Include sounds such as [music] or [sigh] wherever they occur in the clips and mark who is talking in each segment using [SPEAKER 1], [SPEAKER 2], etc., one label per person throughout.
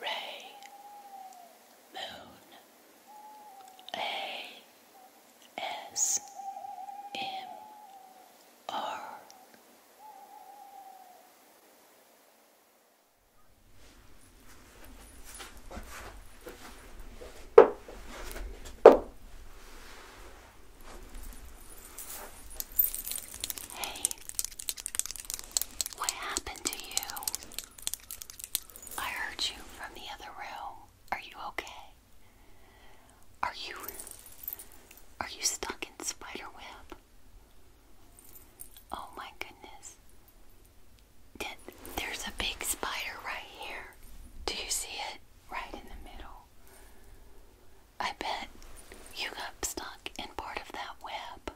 [SPEAKER 1] Ray, Moon, A, S, M, R. Hey, what happened to you? I heard you from the other room. Are you okay? Are you Are you stuck in spiderweb? Oh my goodness. there's a big spider right here. Do you see it? Right in the middle. I bet you got stuck in part of that web.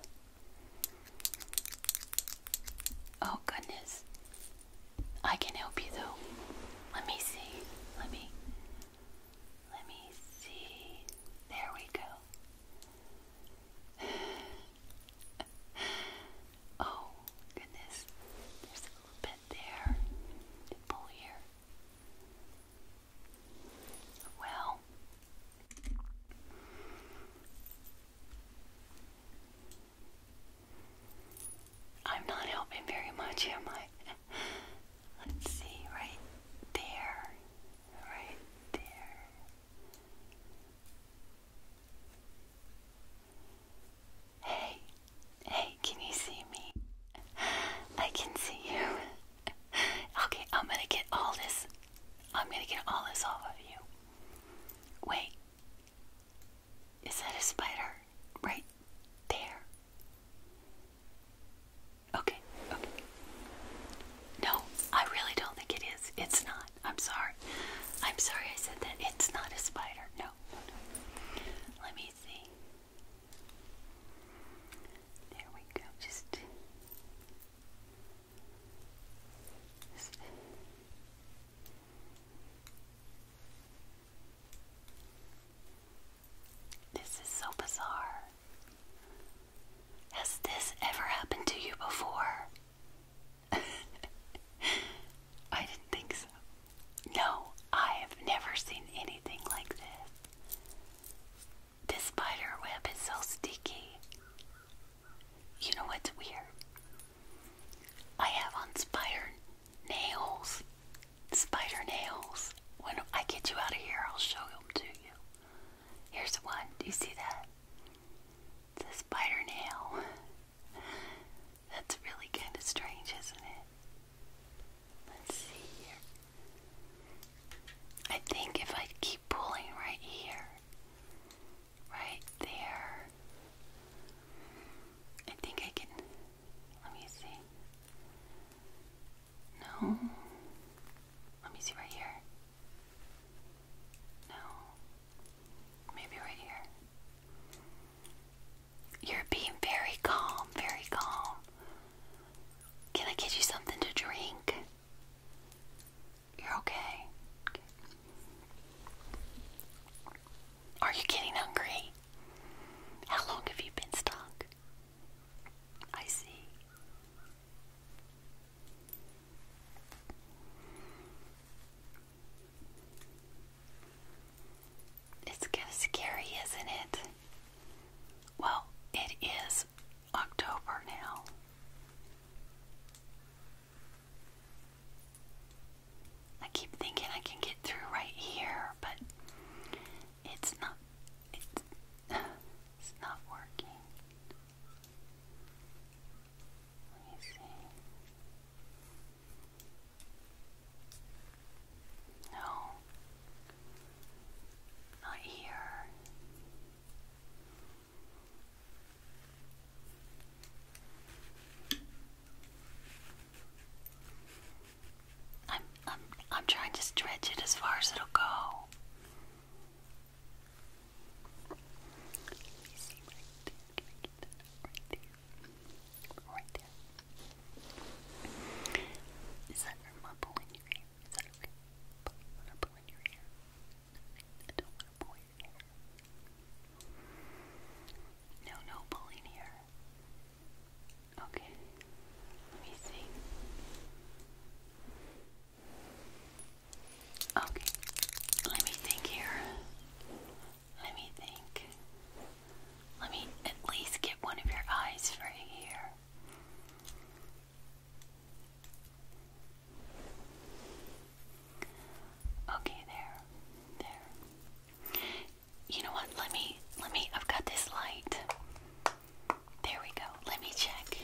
[SPEAKER 1] Oh, goodness. I can help you though. Let me see. Let me. Let me see. There we go. [sighs] oh, goodness. There's a little bit there. Pull here. Well, I'm not helping very much, am I? Let's see, right there, right there. Hey, hey, can you see me? I can see you. okay, I'm gonna get all this. I'm gonna get all this off of you. Wait. Is that a spider? Right there. Okay, okay. No, I really don't think it is. It's not. I'm sorry. I'm sorry I said that. It's not a spider. No, no, no. Let me see. There we go. Just, this is so bizarre. Has this ever happened to you before? [laughs] I didn't think so. No, I have never seen anything like this. This spider web is so sticky. You know what's weird? I have on spider nails. Spider nails. When I get you out of here, I'll show them to you. Here's one. Do you see that? It's a spider nail. [laughs] That's really kind of strange, isn't it? Let's see here. I think if I keep pulling right here, right there, I think I can. Let me see. No. Let me see right here. No. Maybe right here. You're being very calm, very calm. Can I get you something to drink? You're okay. Are you getting hungry? How long have you been stuck? I see. It's kind of scary, isn't it? Well, it is October now. I keep thinking I can get through right here, but it's not it's, [sighs] not working. Let me see. No, not here. I'm I'm I'm trying to stretch it as far as it'll go. Right there. Is that a ripple your ear? Is that a ripple, your ear? No, no pulling here. Okay. Let me see. Okay. Let me think here. Let me think. Let me at least get one of your eyes right here. Okay, there. There. You know what? Let me let me I've got this light. There we go. Let me check.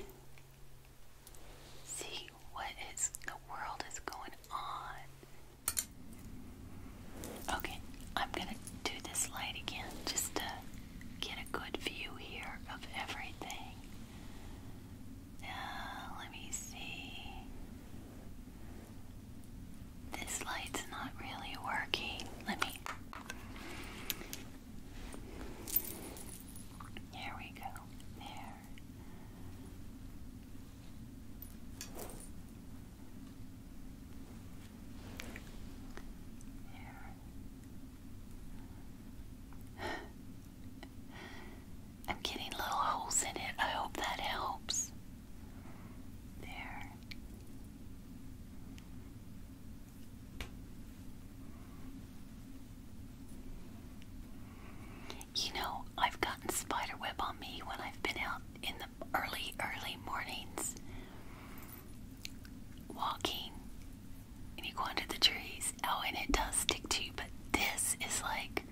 [SPEAKER 1] See what is the world is going on. Okay, I'm gonna do this light again just to get a good view here of everything. Uh, let me see. This light's not really working. Let me. There we go. There. I'm getting little holes in it. I hope that helps. There. You know, I've gotten spiderweb on me when I've been out in the early, early mornings walking and you go under the trees. Oh, and it does stick to you, but this is like,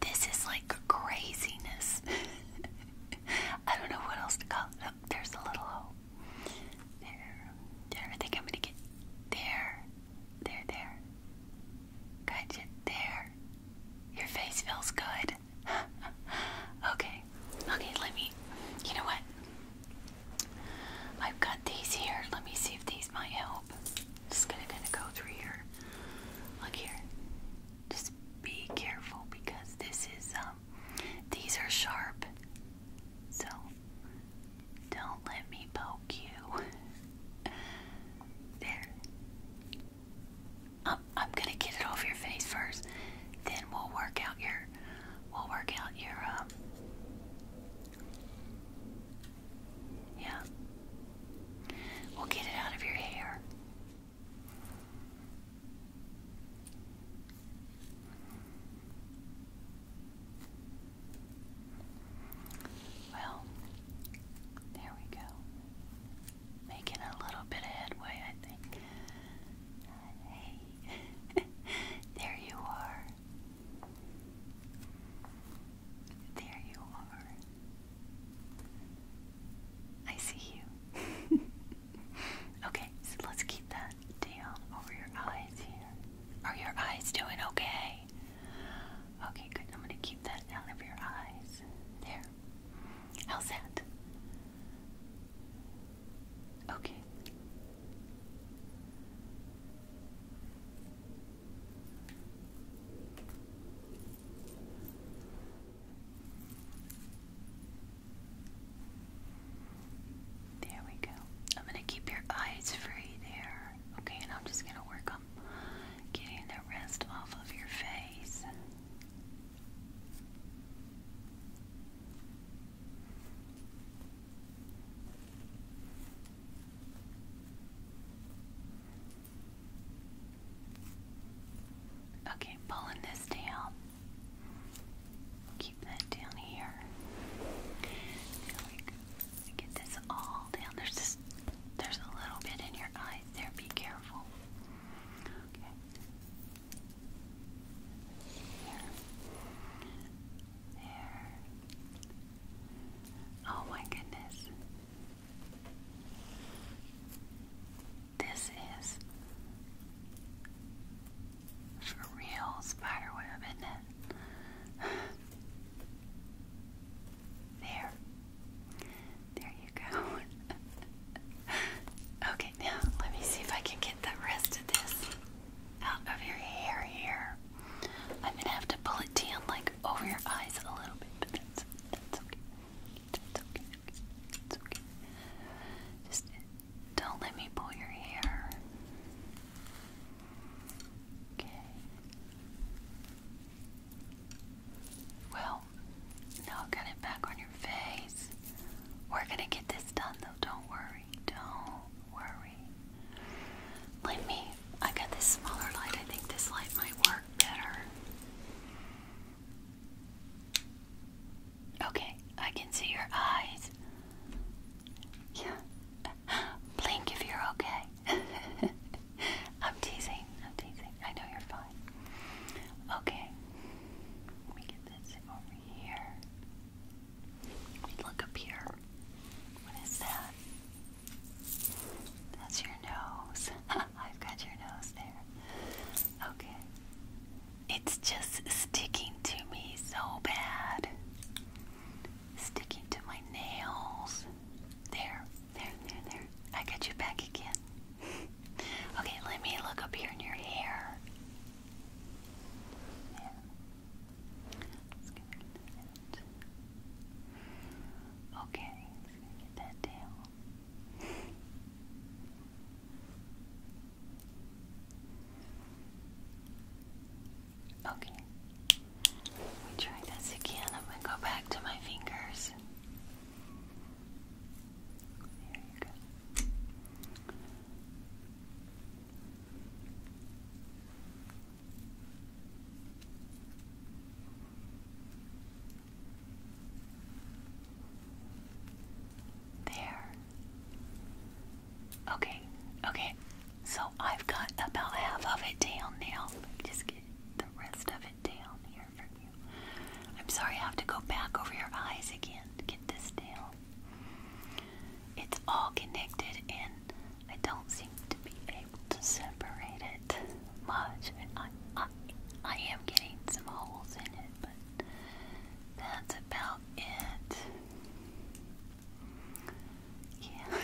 [SPEAKER 1] this is like craziness. [laughs] I don't know what else to call it. Oh, there's a little hole. There. There. I think I'm going to get there. There, there. Got you there. Your face feels good. [laughs] okay, okay, let me. You know what? I've got these here. Let me see if these might help. Just gonna kind of go through here. Look here. Just be careful because this is um these are sharp. So don't let me poke you. [laughs] Um, I'm gonna get it off your face first. Then we'll work out your, we'll work out your, um, yeah.
[SPEAKER 2] We'll get it out of your hair.
[SPEAKER 1] Well, there we go. Making a little bit of headway, I think. hey, [laughs] there you are. There you are. I see you. [laughs] okay, so let's keep that down over your eyes here. Are your eyes doing okay? Okay, good. I'm gonna keep that out of your eyes. There. How's that? Okay. There we go. I'm going to keep your eyes free there. Okay, and I'm just going to work on getting the rest off of your face. Okay, pulling this down. Keep that down here. There we go. Get this all down. There's a little bit in your eyes there. Be careful. Okay. There. Oh my goodness. This is for real spiderweb, isn't it? [sighs] [laughs] There. There you go. [laughs] okay, now let me see if I can get the rest of this out of your hair here. I'm going to have to pull it down like over your eyes a little bit, but that's, okay. That's okay. It's okay. Just don't let me pull your hair. Okay. Well, now get it back on your face. We're gonna get this done though, don't worry. Don't worry. Let me, I got this smaller light. I think this light might work better. Okay, I can see your eyes. Yeah. Blink if you're okay. [laughs] I'm teasing. I'm teasing. I know you're fine. Okay. Let me get this over here. Let me look up here. What is that? That's your nose. [laughs] I've got your nose there. Okay. It's just sticking to me so bad sticking to my nails. There, there, there, there. I got you back again. okay, let me look up here in your hair. Okay, Okay. We try this again. I'm going to go back to my fingers. There you go. There. Okay, okay, so I've got about half of it down now. Just get the rest of it down here from you. I'm sorry I have to go back over your eyes again to get this down. It's all connected and I don't seem to be able to separate it much. I, I am getting some holes in it, but that's about it. Yeah. [laughs]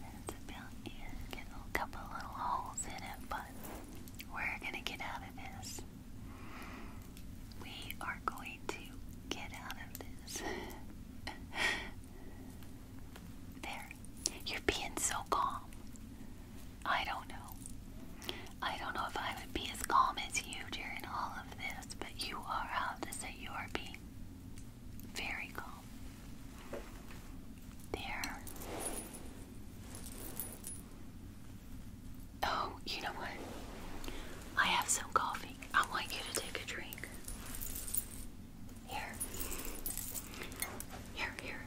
[SPEAKER 1] That's about it. a couple little holes in it, but we're gonna get out of this. We are going to get out of this. [laughs] there. You're being so calm. I don't know. I don't know if I would be as calm as you during all of this, but you are of the same you are being very calm. There. Oh, you know what? I have some coffee. I want you to take a drink. Here. Here, here.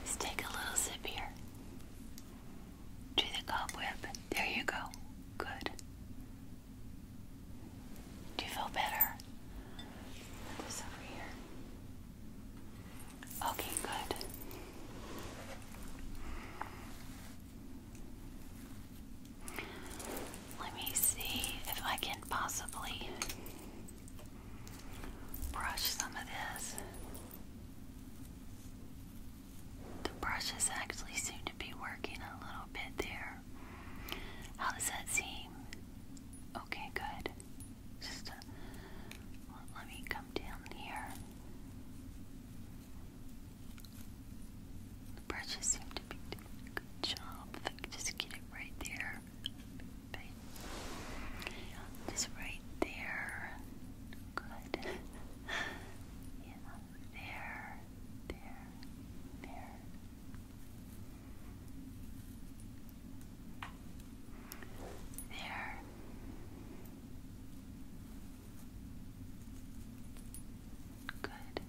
[SPEAKER 1] Let's take a little sip here to the cobweb. There you go. Good. Do you feel better? this over here. Okay, good. Let me see if I can possibly brush some of this the brushes actually seem to be working a little bit there. How does that seem? Okay, good. Just uh, let me come down here. brushes seem to be doing a good job. just get it right there. Just right there. Good. [laughs] yeah there, there, there. There. Good.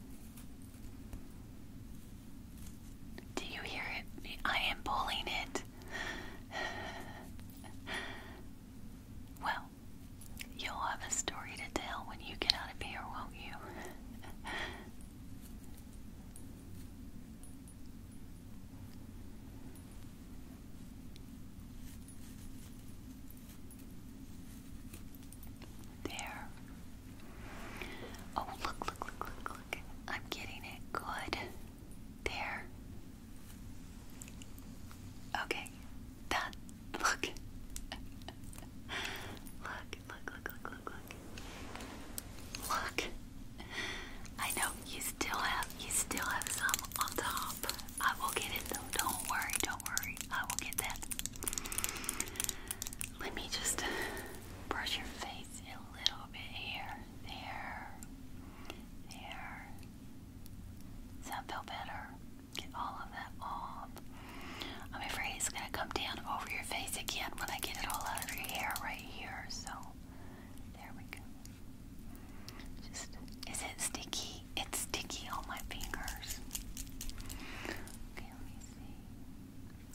[SPEAKER 1] Do you hear it? I am pulling it. [laughs] well, you'll have a story to tell when you get out of here, won't you? [laughs] There. Oh, look, look, look, look, look. I'm getting it good. There. Okay, that [laughs] look. look, look, look, look, look, look. I know you still have you still have some on top. I will get it though. Don't worry, don't worry. I will get that. Let me just brush your face a little bit here. There. There. Does that feel better? Get all of that off. I'm afraid it's going to come down over your face again when I get it all out of your hair right here. So, there we go. Just, is it sticky? It's sticky on my fingers. Okay, let me see.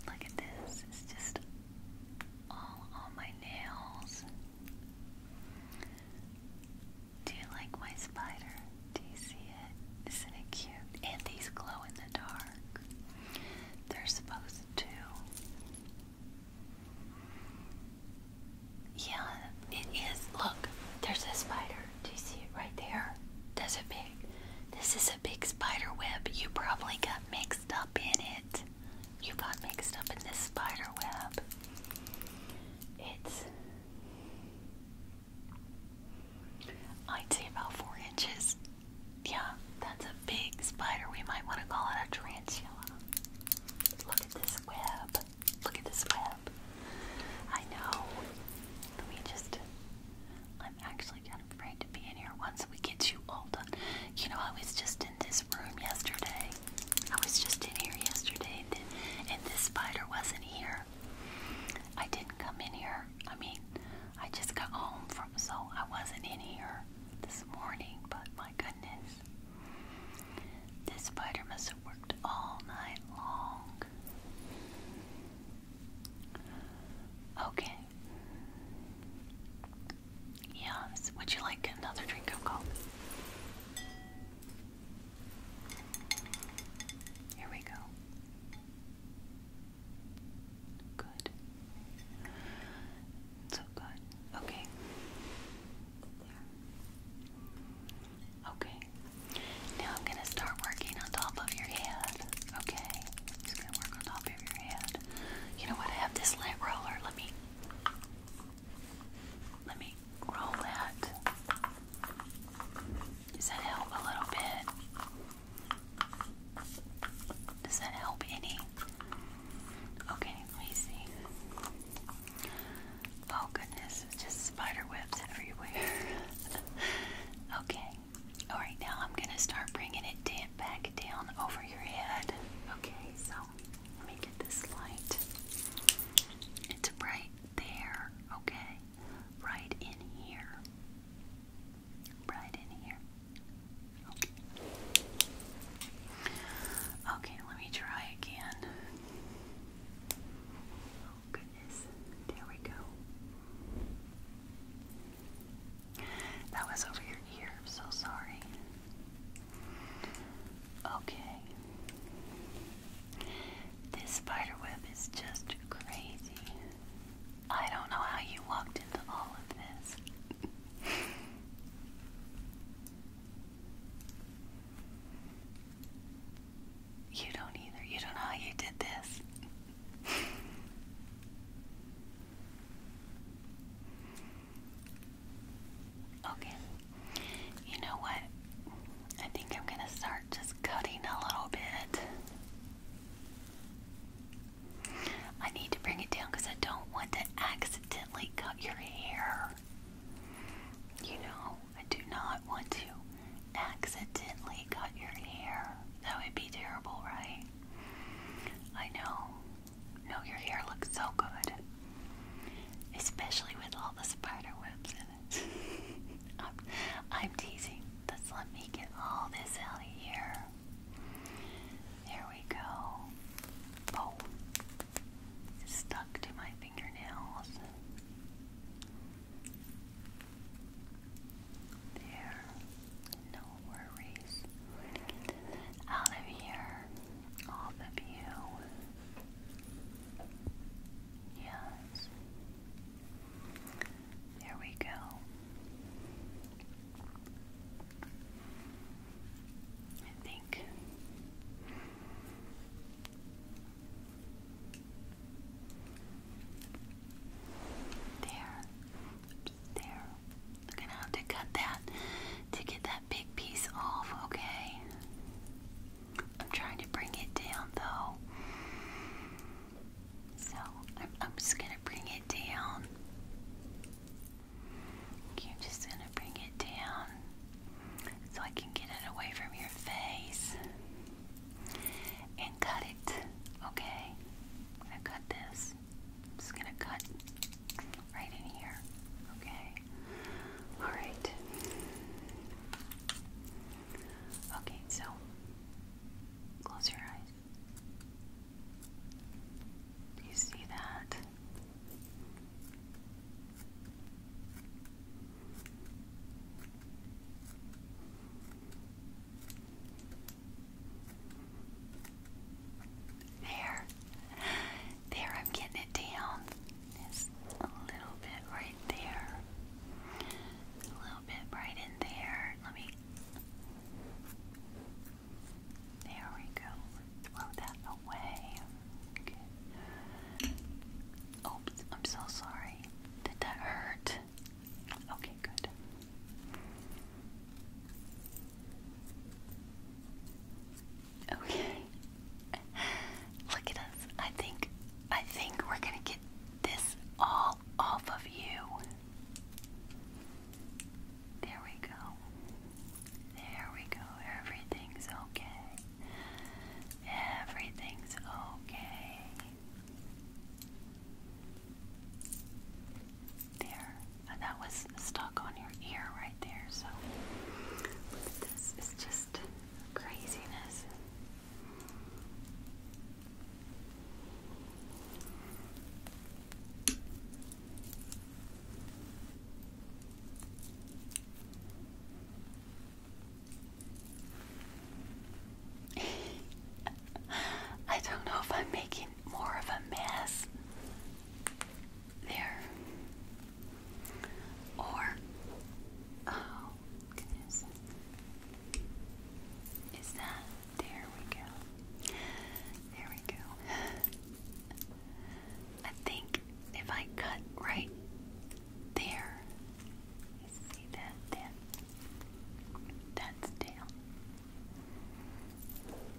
[SPEAKER 1] Look at this. It's just all on my nails. Do you like my spider? Do you see it? Isn't it cute? And these glow in the dark. They're supposed to. Yeah, it is. Look, there's a spider. Do you see it right there? There's a big. This is a big spider web. You probably got mixed up in it. You got mixed up in this spider web. It's I'd say about four inches. Yeah, that's a big spider. We might want to call it a tarantula. Look at this web. Look at this web. I know. Let me just. I'm actually kind of afraid to be in here once we get you all done. You know, I was just in this yesterday. I was just in here yesterday and, this spider wasn't here. I didn't come in here. I mean, I just got home from, so I wasn't in here this morning, but my goodness. This spider must have worked all night long. Okay. Yes, would you like another drink of coffee? Here we go. Good. So good. Okay. Okay. Now I'm going to start working on top of your head. Okay. Just going to work on top of your head. You know what? I have this lint roller. Let me let me roll that. Does that help a little bit? Does that help any? Okay, let me see. Oh goodness, it's just spider everywhere. [laughs] okay, alright, now I'm gonna start bringing it back down over your head. Okay, so let me get this light. It's right there, okay? Right in here. Right in here. Okay. Okay, let me try again. Oh, goodness. There we go. That was over your ear. I'm so sorry. Okay. This spider is just crazy. I don't know how you walked into all of this. you don't either. You don't know how you did this. Okay. You know what? I think I'm going to start just cutting a little bit. I need to bring it down because I don't want to accidentally cut your hair. You know, I do not want to accidentally cut your hair. That would be terrible, right? I know. No, your hair looks so good. Especially with all the spider in it. [laughs] I'm, I'm teasing. Let's let me get all this out of here. There we go. Oh, stuck to my fingernails. There, no worries. Out of here off of you. Yes. There we go. I think there, there. We're gonna have to cut that to get that big piece off, okay? I'm trying to bring it down though. So I'm, just gonna bring it down. I'm just gonna bring it down so I can get it away from your face and cut it, okay? I'm gonna cut this. I'm just gonna cut right in here, okay? All right. Okay, so close your eyes. Do you see that? There. There, I'm getting it down. Just a little bit right there. A little bit right in there. Let me. There we go. Throw that away. Good. Oops, I'm so sorry. Did that hurt? Okay, good. Okay. Look at us. I think I think we're gonna get this all off of you. There we go. There we go. Everything's okay. Everything's okay there. Uh, that was stuck on your ear right there. So this is just craziness. [laughs] I don't know if I'm making more of a mess there. Or, oh, goodness. Is that? There we go. There we go. I think if I cut right there, you see that? Then that's down.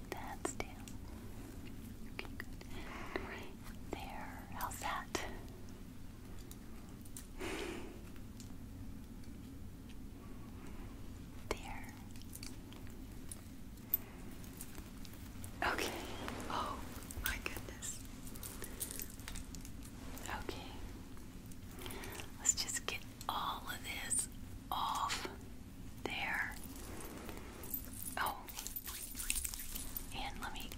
[SPEAKER 1] That's down. there. How's that? There. Okay. Oh my goodness. Okay. Let's just get all of this off. There. Oh, and let me.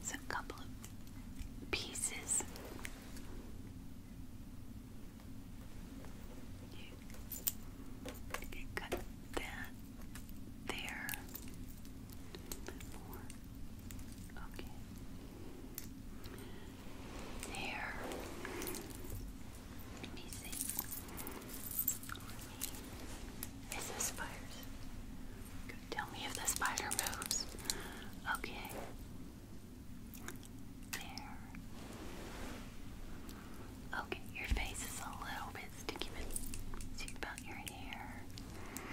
[SPEAKER 1] It's a couple of pieces. You got that there. Okay hair. Let me see. Let spiders? Tell me if the spider moves. Okay. There. Okay, your face is a little bit sticky, but about your hair.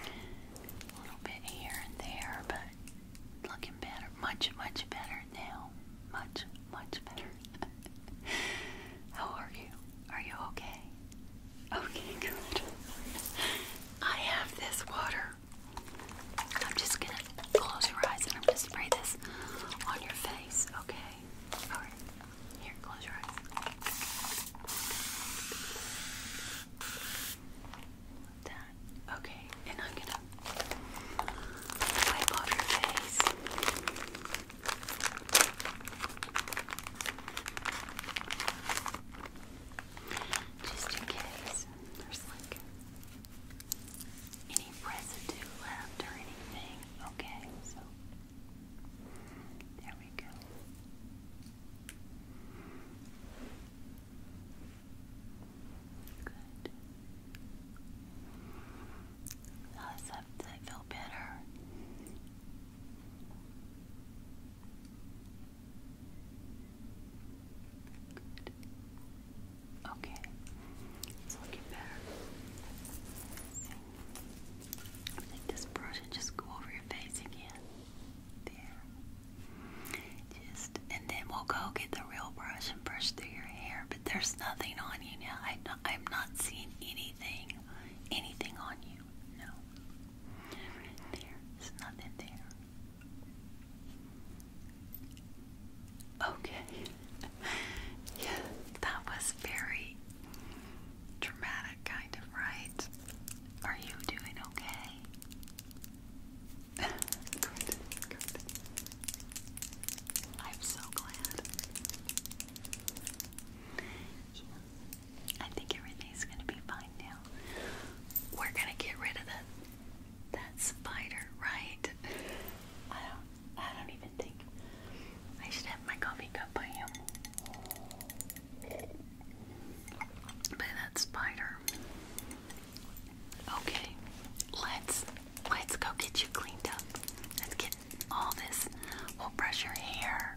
[SPEAKER 1] A little bit here and there, but looking better. Much, much better now much, much better. [laughs] How are you? Are you okay? Okay, good. I have this water. I'm just gonna close your eyes and I'm gonna spray this on your face, okay? Alright, here, close your eyes. Like that. Okay, and I'm gonna Wipe off your face. Just in case there's like any residue left or anything. Okay, so there we go. Good. How feel better? Okay. It's looking better. Take this brush and just go over your face again. There just and then we'll go get the real brush and brush through your hair. But there's nothing on you now. I I'm not seeing anything, anything on you. No, there's nothing there. Okay. [laughs] yeah, that was very dramatic, kind of, right? Are you doing okay? I'm so glad. I think everything's gonna be fine now. We're gonna get rid of that that spider, right? I don't I don't even think I should have my coffee cup by him. By that spider. Okay, let's let's go get you cleaned up. Let's get all this. We'll brush your hair,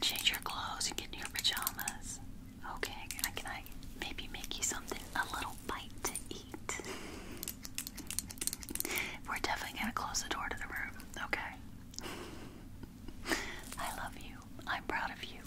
[SPEAKER 1] change your clothes, and get into your pajamas. Okay, can I maybe make you something a little bite to eat? We're definitely gonna close the door to the room. Okay. I love you. I'm proud of you.